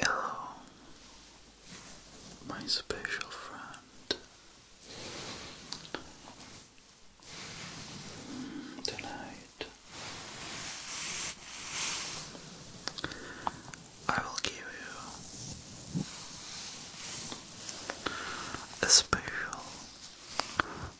Hello, my special friend. Mm, tonight, I will give you a special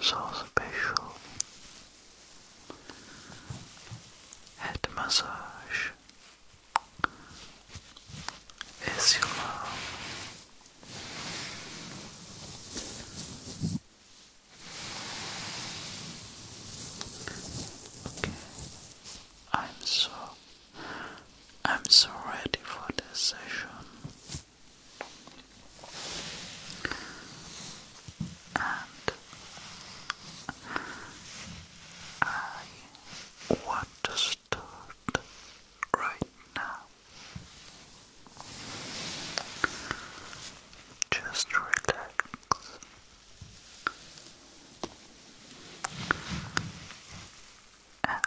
so special. Head massage is your love. Okay, I'm so I'm so ready for this session. I want to start right now. Just relax. And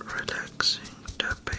relaxing tapping.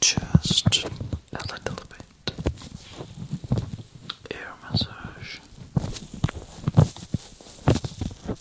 Just a little bit air massage.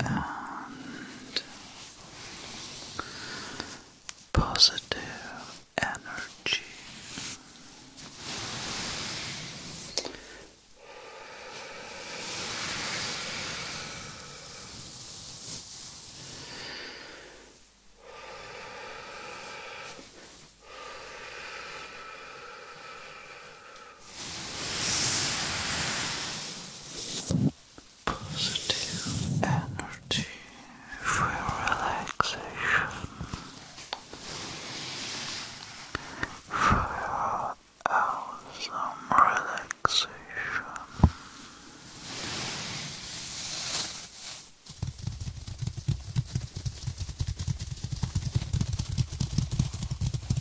and positive energy. Positive energy for relaxation, for your awesome Relaxation.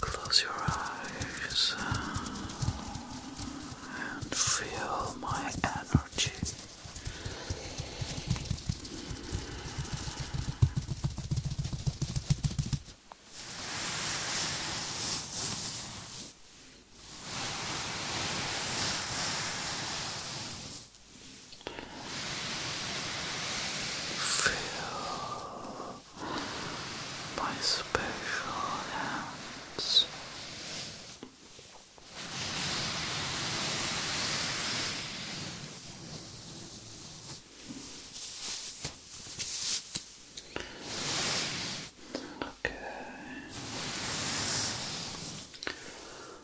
Close your eyes uh, and feel my energy. Feel my special hands. Okay.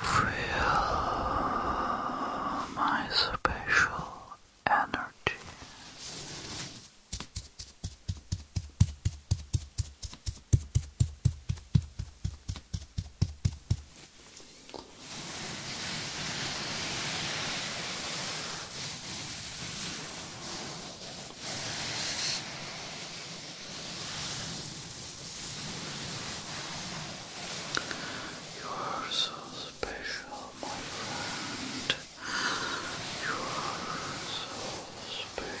Feel my special energy. You are so special, my friend. You are so special.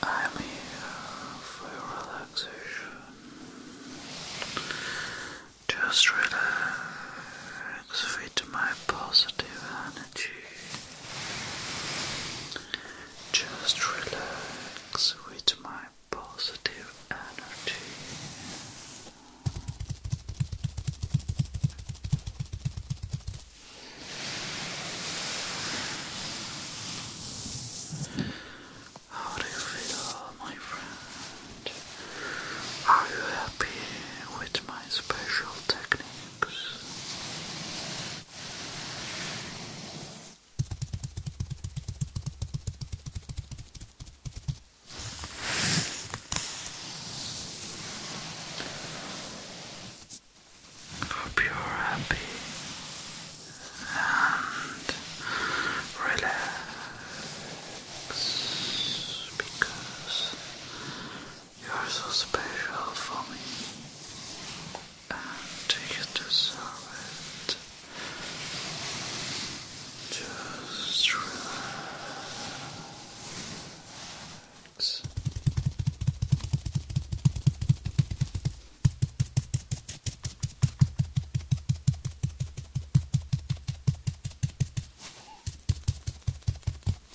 I'm here for relaxation. Just relax works through my positive energy. Just relax with my positive energy. How do you feel, my friend? Are you happy with my special techniques? Hope you're happy and relax because you're so special for me, and you deserve it. Just relax.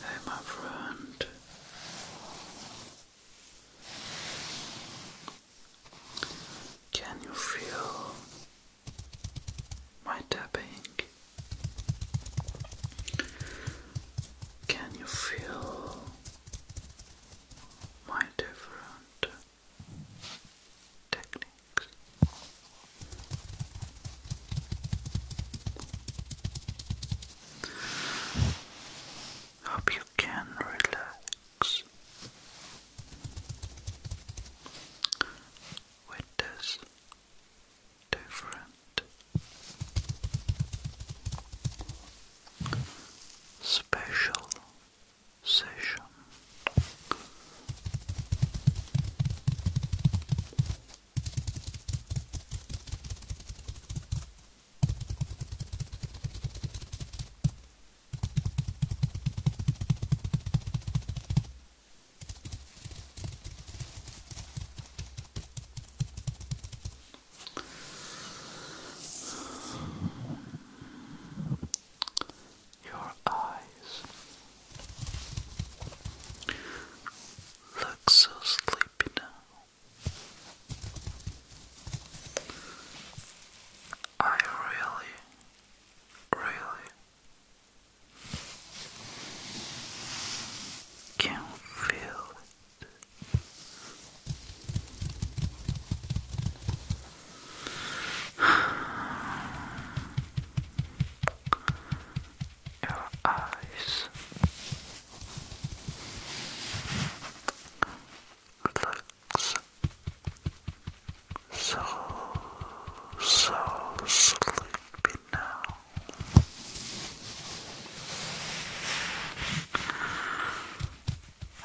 Hey, my friend. Can you feel my tapping? Can you feel my different techniques? Hope you can relax with this different special session. Your eyes Look so sleepy now. I really, really can feel it your eyes. Looks so, so sleepy now.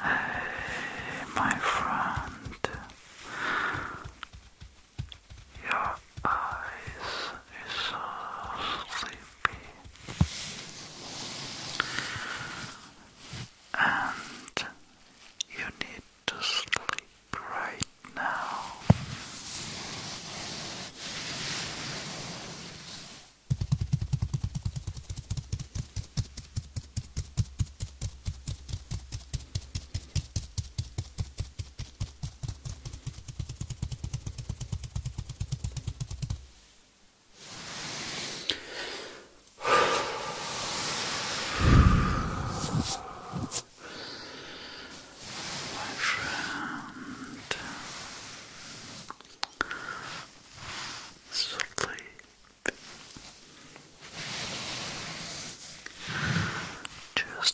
Hey, my friend, your eyes are so sleepy. And you need to sleep right now. My friend, sleep. Just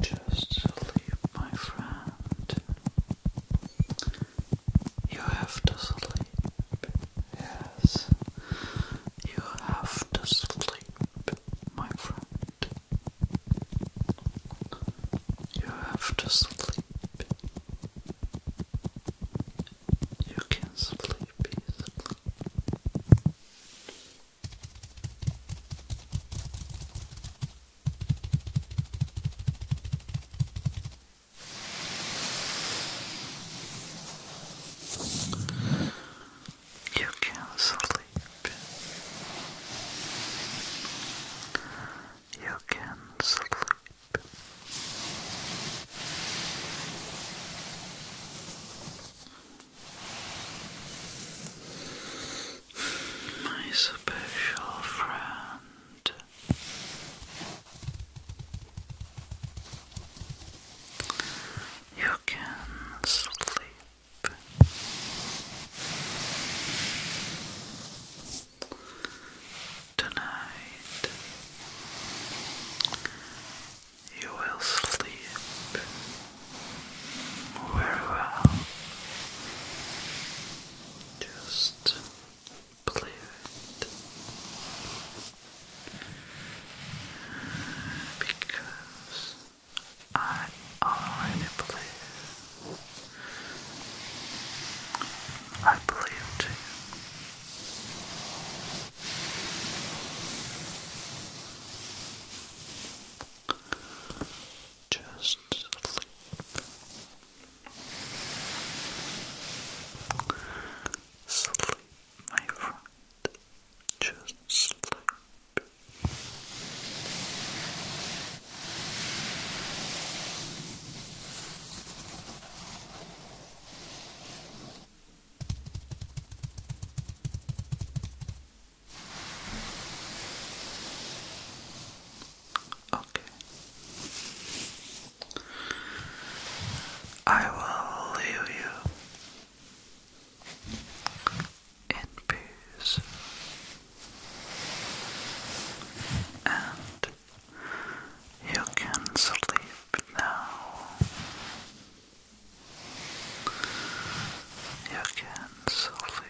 Just sleep, my friend. You have to sleep. Yes. You have to sleep, my friend. You have to sleep you can sleep You can sleep. You can sleep. My special friend. You can sleep. Tonight you will sleep very well. Just believe Because I already believe. I believe to just sleep. Sleep, my friend. Just sleep. Okay. I will leave you in peace and you can sleep now. You can sleep.